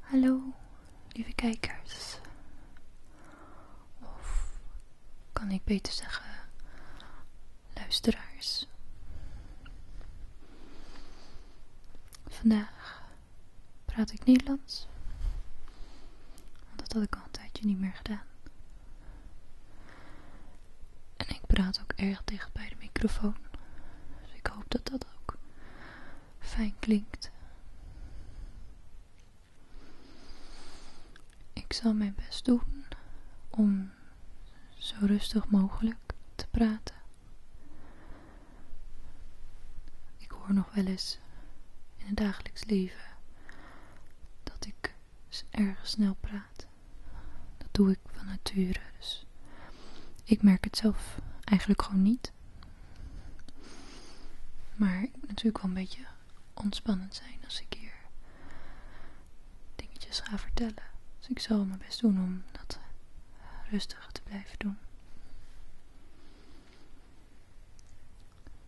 Hallo, lieve kijkers. Of kan ik beter zeggen, luisteraars. Vandaag praat ik Nederlands. Want dat had ik al een tijdje niet meer gedaan. En ik praat ook erg dicht bij de microfoon. Dus ik hoop dat dat ook fijn klinkt. Ik zal mijn best doen om zo rustig mogelijk te praten. Ik hoor nog wel eens in het dagelijks leven dat ik erg snel praat. Dat doe ik van nature, dus ik merk het zelf eigenlijk gewoon niet. Maar ik moet natuurlijk wel een beetje ontspannend zijn als ik hier dingetjes ga vertellen. Dus ik zal mijn best doen om dat eh, rustig te blijven doen.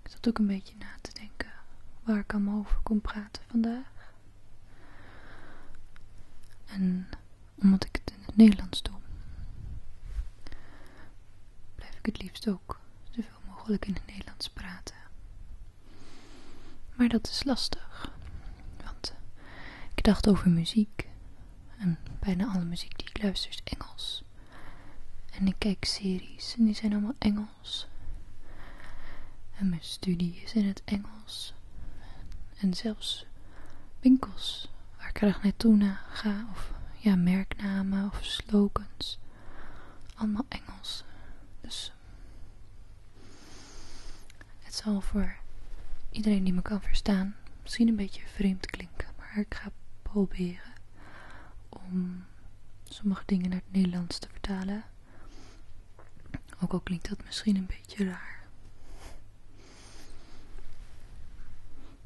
Ik zat ook een beetje na te denken waar ik allemaal over kon praten vandaag. En omdat ik het in het Nederlands doe, blijf ik het liefst ook zoveel mogelijk in het Nederlands praten. Maar dat is lastig, want ik dacht over muziek en bijna alle muziek die ik luister is Engels. En ik kijk series en die zijn allemaal Engels. En mijn studie is in het Engels en zelfs winkels waar ik graag naartoe na ga of ja, merknamen of slogans. Allemaal Engels. Dus het zal voor iedereen die me kan verstaan misschien een beetje vreemd klinken, maar ik ga proberen om sommige dingen naar het Nederlands te vertalen. Ook al klinkt dat misschien een beetje raar.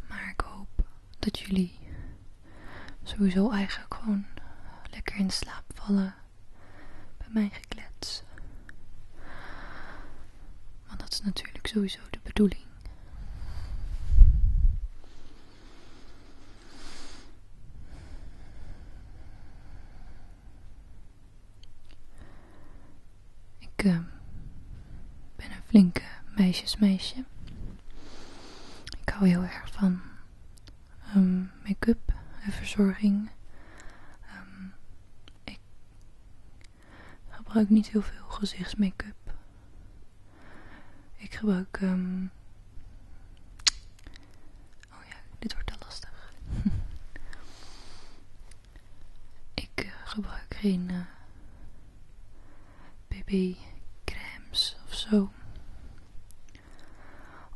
Maar ik hoop dat jullie sowieso eigenlijk gewoon lekker in slaap vallen bij mijn geklets. Want dat is natuurlijk sowieso de bedoeling. Ik eh, ben een flinke meisjesmeisje. Ik hou heel erg van ehm, make-up en verzorging. Ehm, ik gebruik niet heel veel gezichtsmake-up. Ik gebruik. Um, oh ja, dit wordt al lastig. Ik gebruik geen eh, bb creams of zo.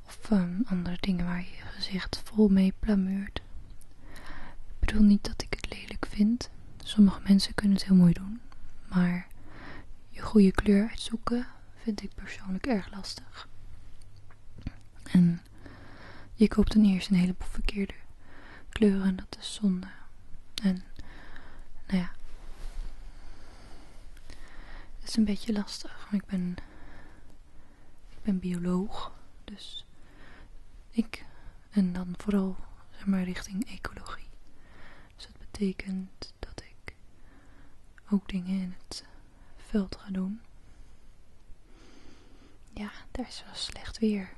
Of ehm, andere dingen waar je je gezicht vol mee plamuurt. Ik bedoel niet dat ik het lelijk vind. Sommige mensen kunnen het heel mooi doen. Maar je goede kleur uitzoeken vind ik persoonlijk erg lastig. En je koopt dan eerst een heleboel verkeerde kleuren. Dat is zonde. En, nou ja. Het is een beetje lastig. Ik ben, ik ben bioloog. Dus ik, en dan vooral, zeg maar, richting ecologie. Dus dat betekent dat ik ook dingen in het veld ga doen. Ja, daar is wel slecht weer.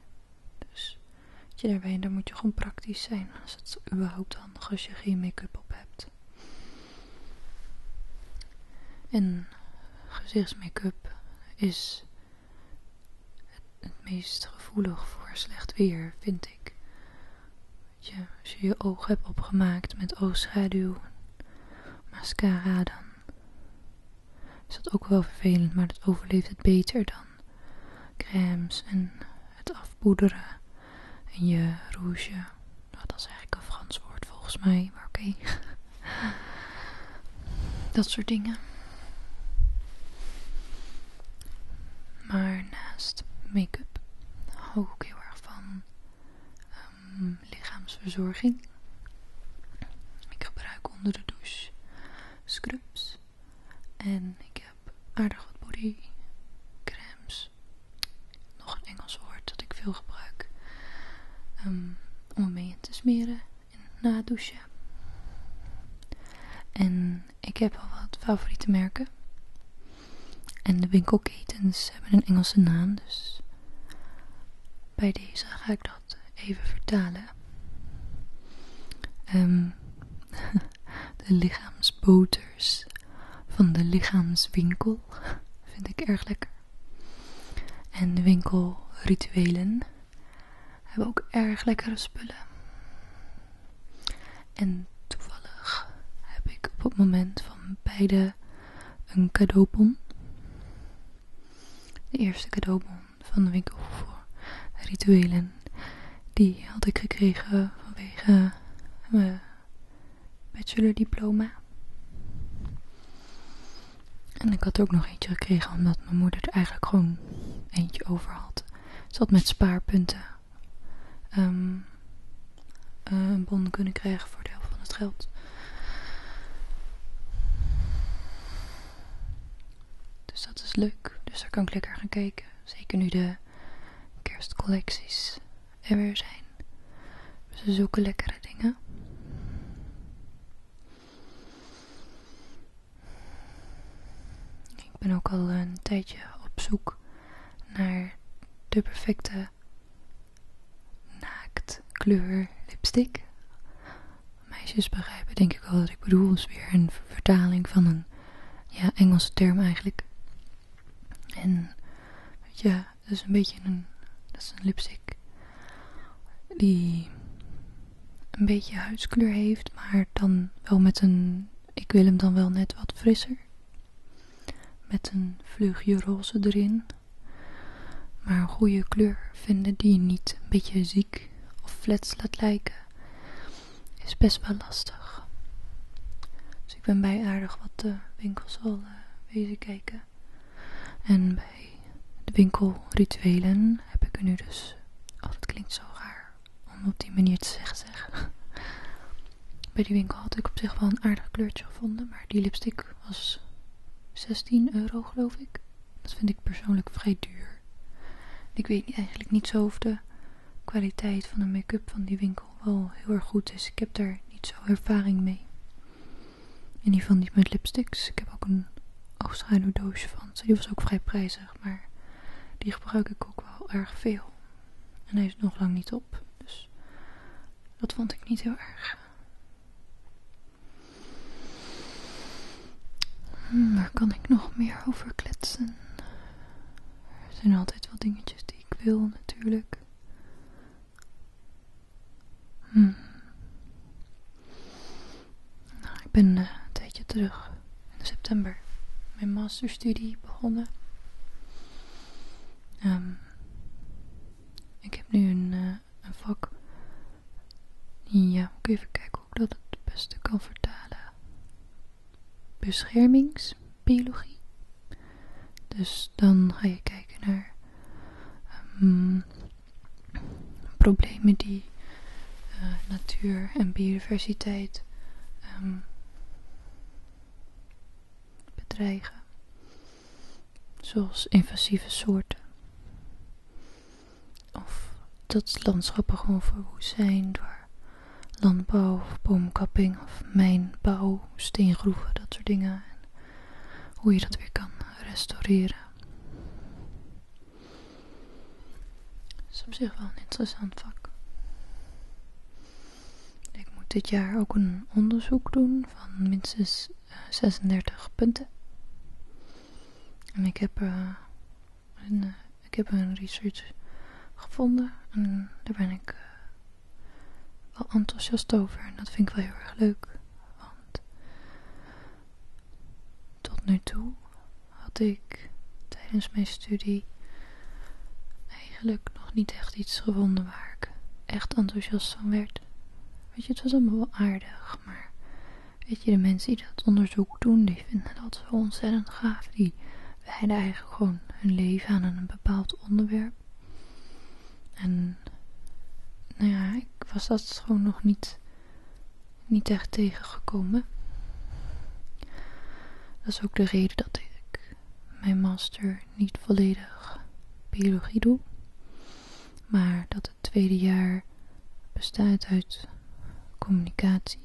Dus je daarbij, dan moet je gewoon praktisch zijn. Als het überhaupt dan, als je geen make-up op hebt. En gezichtsmake-up is het, meest gevoelig voor slecht weer, vind ik. als je je ogen hebt opgemaakt met oogschaduw, mascara, dan is dat ook wel vervelend, maar dat overleeft het beter dan crèmes en het afpoederen en je rouge. Nou, dat is eigenlijk een Frans woord volgens mij, maar oké. dat soort dingen. Maar naast make-up hou ik ook heel erg van ehm, lichaamsverzorging. Ik gebruik onder de douche scrubs. En ik heb aardig wat bodycremes. Nog een Engels woord dat ik veel gebruik. Ehm, om om mee te smeren na douchen. En ik heb al wat favoriete merken. En de winkelketens hebben een Engelse naam, dus bij deze ga ik dat even vertalen. Ehm, de lichaamsboters van de lichaamswinkel vind ik erg lekker. En de winkelrituelen hebben ook erg lekkere spullen. En toevallig heb ik op het moment van beide een cadeaubon. De eerste cadeaubon van de winkel voor rituelen. Die had ik gekregen vanwege mijn bachelordiploma. En ik had er ook nog eentje gekregen omdat mijn moeder er eigenlijk gewoon eentje over had. Ze had met spaarpunten ehm, eh, een bon kunnen krijgen voor de helft van het geld. Dus dat is leuk. Dus daar kan ik lekker gaan kijken. Zeker nu de kerstcollecties er weer zijn. Ze dus zoeken lekkere dingen. Ik ben ook al een tijdje op zoek naar de perfecte naaktkleur lipstick meisjes begrijpen denk ik wel wat ik bedoel. is weer een vertaling van een ja, Engelse term eigenlijk. En ja het dat is een beetje een, dat is een lipstick die een beetje huidskleur heeft, maar dan wel met een, ik wil hem dan wel net wat frisser. Met een vleugje roze erin. Maar een goede kleur vinden die niet een beetje ziek of flats laat lijken, is best wel lastig. Dus ik ben bij aardig wat de winkels al uh, eh, kijken. En bij de winkelrituelen heb ik er nu dus, oh het klinkt zo raar om op die manier te zeggen zeg. Bij die winkel had ik op zich wel een aardig kleurtje gevonden, maar die lipstick was 16 euro geloof ik. Dat vind ik persoonlijk vrij duur ik weet eigenlijk niet zo of de kwaliteit van de make-up van die winkel wel heel erg goed is. Ik heb daar niet zo ervaring mee. In ieder geval niet met lipsticks. Ik heb ook een oogschaduwdoosje van Die was ook vrij prijzig, maar die gebruik ik ook wel erg veel. En hij is nog lang niet op, dus dat vond ik niet heel erg. Hmm, waar kan ik nog meer over kletsen? Er zijn altijd wel dingetjes die ik wil natuurlijk. Hmm. Nou, ik ben eh, een tijdje terug in september mijn masterstudie begonnen. Ehm, ik heb nu een, eh, een vak. Ja, eh, moet ik even kijken dat het beste kan vertalen. Beschermingsbiologie. Dus dan ga je kijken naar ehm, problemen die eh, natuur en biodiversiteit ehm, bedreigen, zoals invasieve soorten. Of dat landschappen gewoon verwoest zijn door landbouw boomkapping of mijnbouw, steengroeven, dat soort dingen. En hoe je dat weer kan restaureren. Dat is op zich wel een interessant vak. Ik moet dit jaar ook een onderzoek doen van minstens 36 eh, punten. En ik heb eh, en eh, ik heb een research gevonden en daar ben ik eh, wel enthousiast over. En dat vind ik wel heel erg leuk. Want tot nu toe had ik tijdens mijn studie eigenlijk nog niet echt iets gevonden waar ik echt enthousiast van werd. Weet je, het was allemaal wel aardig, maar Weet je, de mensen die dat onderzoek doen, die vinden dat zo ontzettend gaaf. Die wijden eigenlijk gewoon hun leven aan een bepaald onderwerp. En nou ja, ik was dat gewoon nog niet, niet echt tegengekomen. Dat is ook de reden dat ik mijn master niet volledig biologie doe. Maar dat tweede jaar bestaat uit communicatie.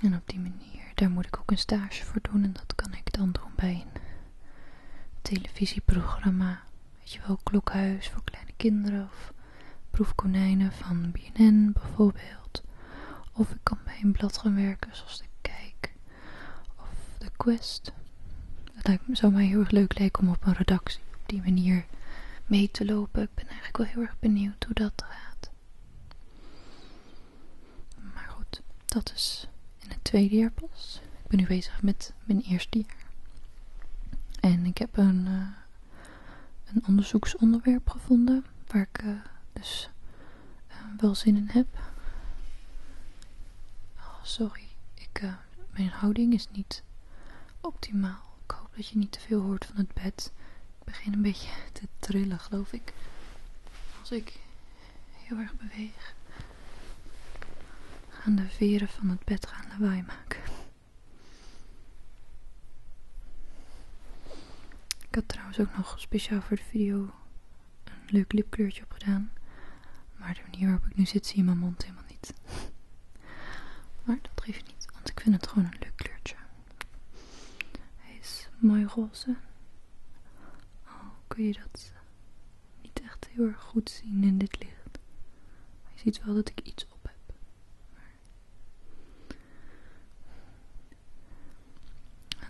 En op die manier, daar moet ik ook een stage voor doen en dat kan ik dan doen bij een televisieprogramma. Weet je wel, klokhuis voor kleine kinderen of proefkonijnen van BNN bijvoorbeeld. Of ik kan bij een blad gaan werken zoals de Kijk of de Quest. Dat lijkt me, zou mij heel erg leuk lijken om op een redactie op die manier mee te lopen. Ik ben eigenlijk wel heel erg benieuwd hoe dat gaat. Maar goed, dat is in het tweede jaar pas. Ik ben nu bezig met mijn eerste jaar. En ik heb een, eh, onderzoeksonderwerp gevonden waar ik eh, dus eh, wel zin in heb. Oh, sorry, ik mijn houding is niet optimaal. Ik hoop dat je niet te veel hoort van het bed. Ik begin een beetje te trillen, geloof ik. Als ik heel erg beweeg, gaan de veren van het bed gaan lawaai maken. Ik had trouwens ook nog speciaal voor de video een leuk lipkleurtje op gedaan. Maar de manier waarop ik nu zit, zie je mijn mond helemaal niet. Maar dat geeft niet, want ik vind het gewoon een leuk kleurtje. Hij is mooi roze. Al kun je dat niet echt heel erg goed zien in dit licht. je ziet wel dat ik iets op heb.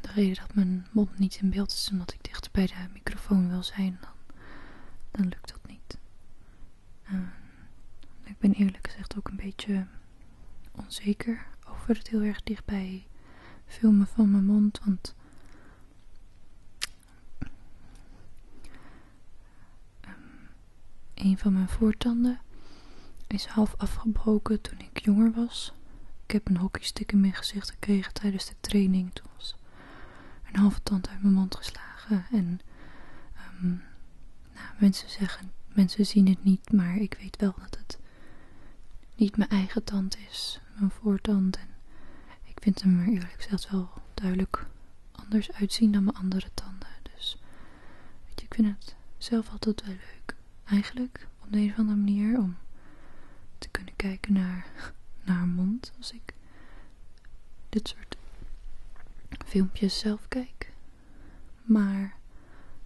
de reden dat mijn mond niet in beeld is, omdat ik dichter bij de microfoon wil zijn, dan lukt dat Ehm, ik ben eerlijk gezegd ook een beetje onzeker over het heel erg dichtbij filmen van mijn mond. Want ehm, een van mijn voortanden is half afgebroken toen ik jonger was. Ik heb een hockeystick in mijn gezicht gekregen tijdens de training. Toen een halve tand uit mijn mond geslagen. En ehm, nou, mensen zeggen, mensen zien het niet, maar ik weet wel dat het niet mijn eigen tand is, mijn voortand. En ik vind hem er eerlijk gezegd wel duidelijk anders uitzien dan mijn andere tanden. Dus weet je, ik vind het zelf altijd wel leuk. Eigenlijk, op de een of andere manier, om te kunnen kijken naar, naar mond als ik dit soort filmpjes zelf kijk. Maar,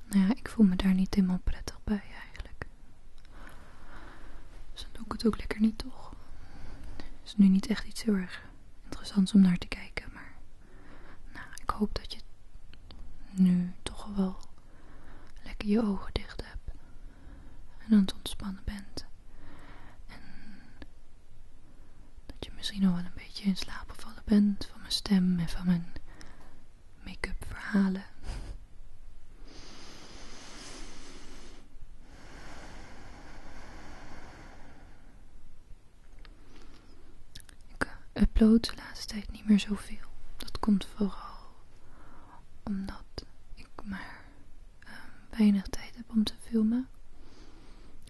nou ja, ik voel me daar niet helemaal prettig bij eigenlijk. Dus dan doe ik het ook lekker niet, toch? Het is nu niet echt iets heel erg interessants om naar te kijken, maar... Nou, ik hoop dat je nu toch wel lekker je ogen dicht hebt. En aan het ontspannen bent. En dat je misschien al wel een beetje in slaap gevallen bent van mijn stem en van mijn make-up verhalen. Ik upload de laatste tijd niet meer zoveel. Dat komt vooral omdat ik maar eh, weinig tijd heb om te filmen.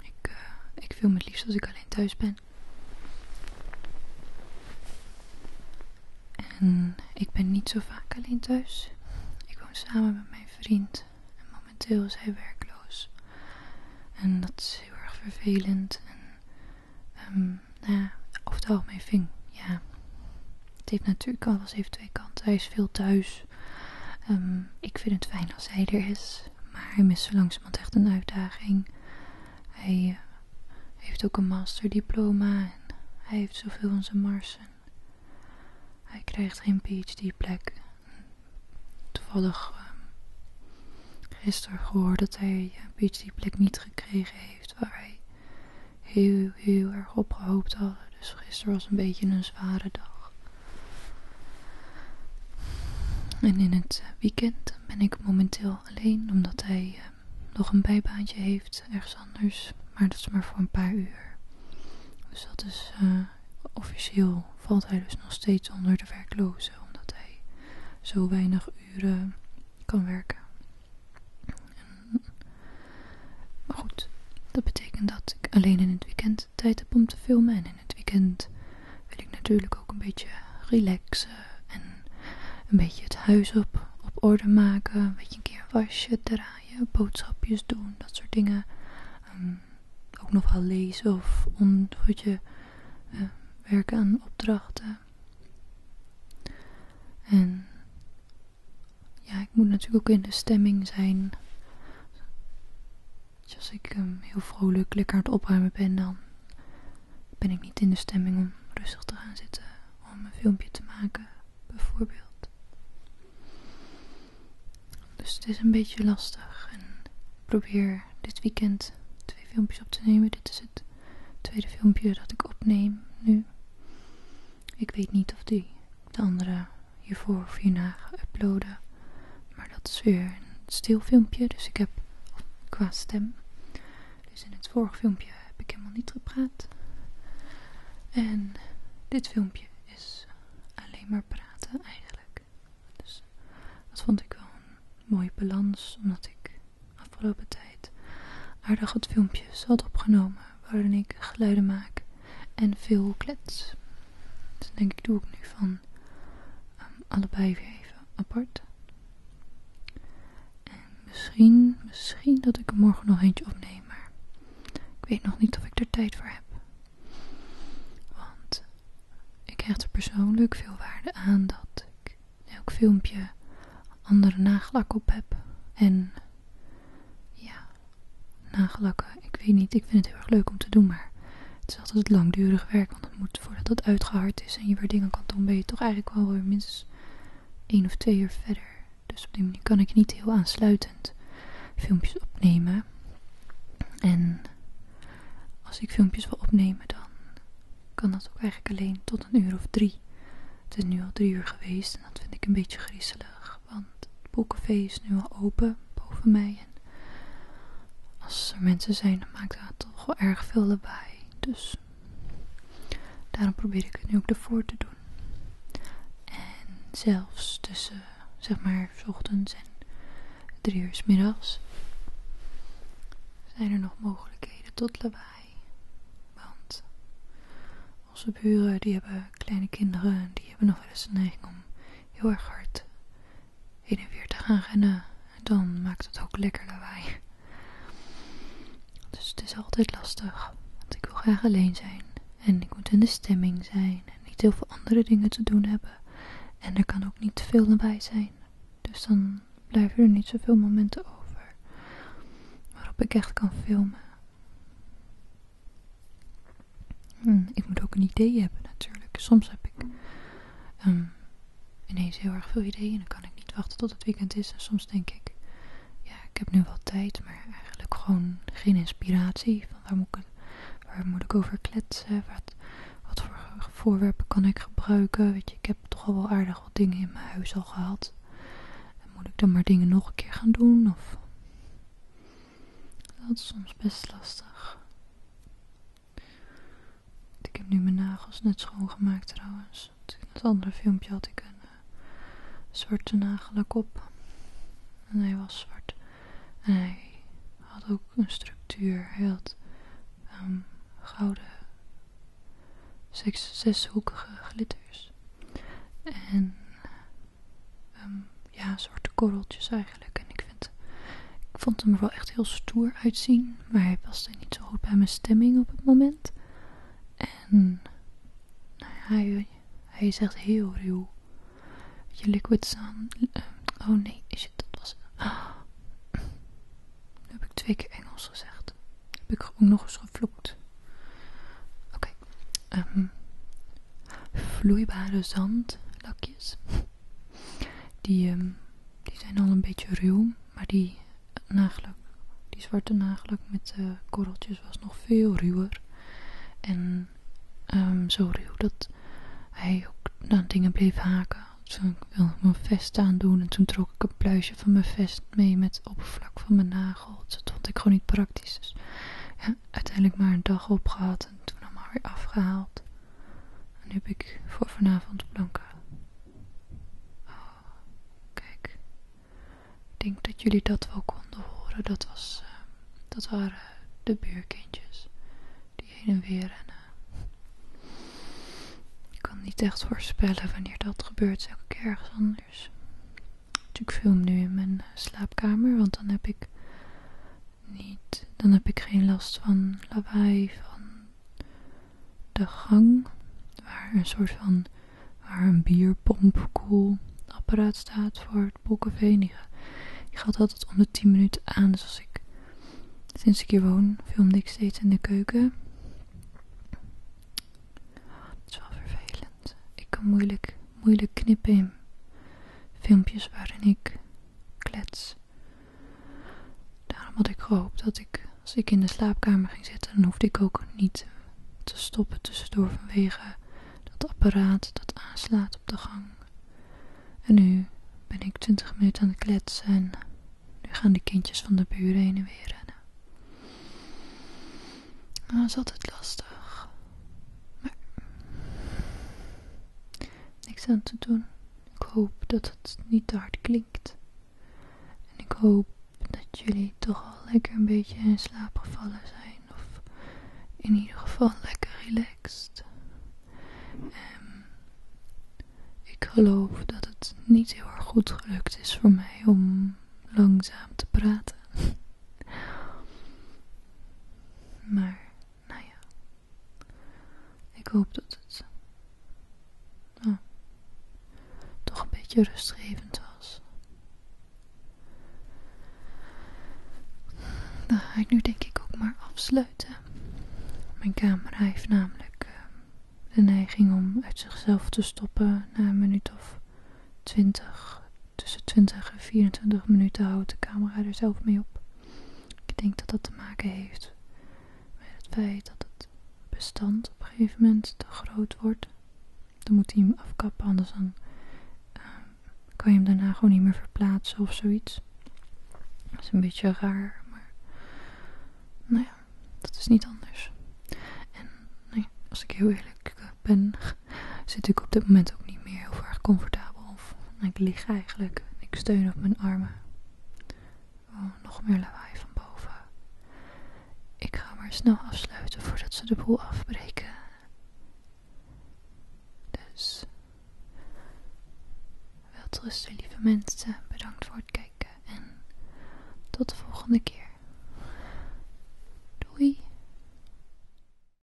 Ik, eh, ik film het liefst als ik alleen thuis ben. En ik ben niet zo vaak alleen thuis. Ik woon samen met mijn vriend. En momenteel is hij werkloos. En dat is heel erg vervelend. En um, nou ja, over het algemeen ving, ja. Het heeft natuurlijk alles heeft twee kanten. Hij is veel thuis. Ehm, ik vind het fijn als hij er is, maar hij mist zo langzamerhand echt een uitdaging. Hij eh, heeft ook een masterdiploma en hij heeft zoveel van zijn marsen. Hij krijgt geen PhD-plek. Toevallig ehm, gisteren gehoord dat hij een eh, PhD-plek niet gekregen heeft waar hij heel, heel erg op gehoopt had. Dus gisteren was een beetje een zware dag. En in het eh, weekend ben ik momenteel alleen, omdat hij eh, nog een bijbaantje heeft ergens anders. Maar dat is maar voor een paar uur. Dus dat is eh, officieel valt hij dus nog steeds onder de werklozen, omdat hij zo weinig uren kan werken. maar goed, dat betekent dat ik alleen in het weekend tijd heb om te filmen. En in het weekend wil ik natuurlijk ook een beetje relaxen. En een beetje het huis op, op orde maken. Een beetje een keer wasje, draaien, boodschapjes doen, dat soort dingen. Ehm, ook nog wel lezen of om, eh, werken aan opdrachten. En ja, ik moet natuurlijk ook in de stemming zijn. Dus als ik ehm, heel vrolijk lekker aan het opruimen ben, dan ben ik niet in de stemming om rustig te gaan zitten om een filmpje te maken, bijvoorbeeld. Dus het is een beetje lastig. En ik probeer dit weekend twee filmpjes op te nemen. Dit is het tweede filmpje dat ik opneem nu. Ik weet niet of die de andere hiervoor of hierna ga uploaden. Maar dat is weer een stil filmpje, dus ik heb qua stem. Dus in het vorige filmpje heb ik helemaal niet gepraat. En dit filmpje is alleen maar praten eigenlijk. Dus dat vond ik wel een mooie balans, omdat ik afgelopen tijd aardig wat filmpjes had opgenomen waarin ik geluiden maak en veel klets. Dus denk ik doe ik nu van ehm, allebei weer even apart. En misschien, misschien dat ik er morgen nog eentje opneem, maar ik weet nog niet of ik er tijd voor heb. Want ik hecht er persoonlijk veel waarde aan dat ik elk filmpje andere nagelak op heb en ja, nagelakken. Nou, ik weet niet, ik vind het heel erg leuk om te doen, maar het is altijd langdurig werk. Want het moet, voordat het uitgehard is en je weer dingen kan doen, ben je toch eigenlijk wel minstens één of twee uur verder. Dus op die manier kan ik niet heel aansluitend filmpjes opnemen. En als ik filmpjes wil opnemen, dan kan dat ook eigenlijk alleen tot een uur of drie. Het is nu al drie uur geweest en dat vind ik een beetje griezelig want het boekenvee is nu al open boven mij. En als er mensen zijn, dan maakt dat toch wel erg veel lawaai. Dus daarom probeer ik het nu ook ervoor te doen. En zelfs tussen, zeg maar, s ochtends en drie uur s middags zijn er nog mogelijkheden tot lawaai. Want onze buren die hebben kleine kinderen die hebben nog wel eens de neiging om heel erg hard heen en weer te gaan rennen. dan maakt het ook lekker lawaai. Dus het is altijd lastig. Want ik wil graag alleen zijn. En ik moet in de stemming zijn. En niet heel veel andere dingen te doen hebben. En er kan ook niet te veel nabij zijn. Dus dan blijven er niet zoveel momenten over. Waarop ik echt kan filmen. Hmm, ik moet ook een idee hebben natuurlijk. Soms heb ik ehm, ineens heel erg veel ideeën en dan kan ik niet wachten tot het weekend is. En soms denk ik, ja, ik heb nu wel tijd, maar eigenlijk gewoon geen inspiratie. Van waar moet ik, waar moet ik over kletsen? Wat, voor voorwerpen kan ik gebruiken? Weet je, ik heb toch al wel aardig wat dingen in mijn huis al gehad. En moet ik dan maar dingen nog een keer gaan doen? Of dat is soms best lastig. Ik heb nu mijn nagels net schoongemaakt trouwens. In het andere filmpje had ik een eh, zwarte nagelak op. En hij was zwart. En hij had ook een structuur. Hij had ehm, gouden zeshoekige glitters. En um, ja, soort korreltjes eigenlijk. En ik, vind, ik vond hem er wel echt heel stoer uitzien. Maar hij paste niet zo goed bij mijn stemming op het moment. En nou hij, hij is heel ruw. Je liquid zijn ehm, oh nee, is het? Dat was. Ah. heb ik twee keer Engels gezegd. Heb ik ook nog eens gevloekt. Oké. Ehm, vloeibare zandlakjes. Die, ehm, die zijn al een beetje ruw, maar die die zwarte nagelak met eh, korreltjes was nog veel ruwer. En ehm, zo ruw dat hij ook naar dingen bleef haken. Toen ik wilde mijn vest doen en toen trok ik een pluisje van mijn vest mee met oppervlak van mijn nagel. Dat vond ik gewoon niet praktisch. Dus ja, uiteindelijk maar een dag gehad en toen allemaal weer afgehaald. En nu heb ik voor vanavond blanca. Oh, kijk. Ik denk dat jullie dat wel konden horen. Dat, was, eh, dat waren de buurkindjes. Die heen en weer rennen. Ik kan niet echt voorspellen wanneer dat gebeurt. Elke keer ergens anders. ik film nu in mijn eh, slaapkamer. Want dan heb ik niet. Dan heb ik geen last van lawaai van de gang. Waar een soort van waar een apparaat staat voor het bolkeveen. Die, die gaat altijd om de 10 minuten aan. Dus als ik sinds ik hier woon, filmde ik steeds in de keuken. Het is wel vervelend. Ik kan moeilijk moeilijk knippen. in Filmpjes waarin ik klets. Daarom had ik gehoopt dat ik, als ik in de slaapkamer ging zitten, dan hoefde ik ook niet te stoppen tussendoor vanwege dat apparaat dat aanslaat op de gang. En nu ben ik twintig minuten aan het kletsen en nu gaan de kindjes van de buren heen en weer rennen. dat ah, is altijd lastig niks aan te doen. Ik hoop dat het niet te hard klinkt. En ik hoop dat jullie toch al lekker een beetje in slaap gevallen zijn. Of in ieder geval lekker relaxed. Ehm, ik geloof dat het niet heel erg goed gelukt is voor mij om langzaam te praten. Maar, nou ja. Ik hoop dat het eh, oh, toch een beetje rustgevend was. Dan ga ik nu denk ik ook maar afsluiten. Mijn camera heeft namelijk eh, de neiging om uit zichzelf te stoppen na een minuut of twintig tussen 20 en 24 minuten houdt de camera er zelf mee op. Ik denk dat dat te maken heeft met het feit dat het bestand op een gegeven moment te groot wordt. Dan moet hij hem afkappen, anders dan ehm, kan je hem daarna gewoon niet meer verplaatsen of zoiets. Dat is een beetje raar, maar nou ja, dat is niet anders. En nee, als ik heel eerlijk eh, ben, zit ik op dit moment ook niet meer heel erg comfortabel. Of, ik lig eigenlijk. Ik steun op mijn armen. Oh, nog meer lawaai van boven. Ik ga maar snel afsluiten voordat ze de boel afbreken. Dus. Welterusten, lieve mensen. Bedankt voor het kijken. En tot de volgende keer. Doei.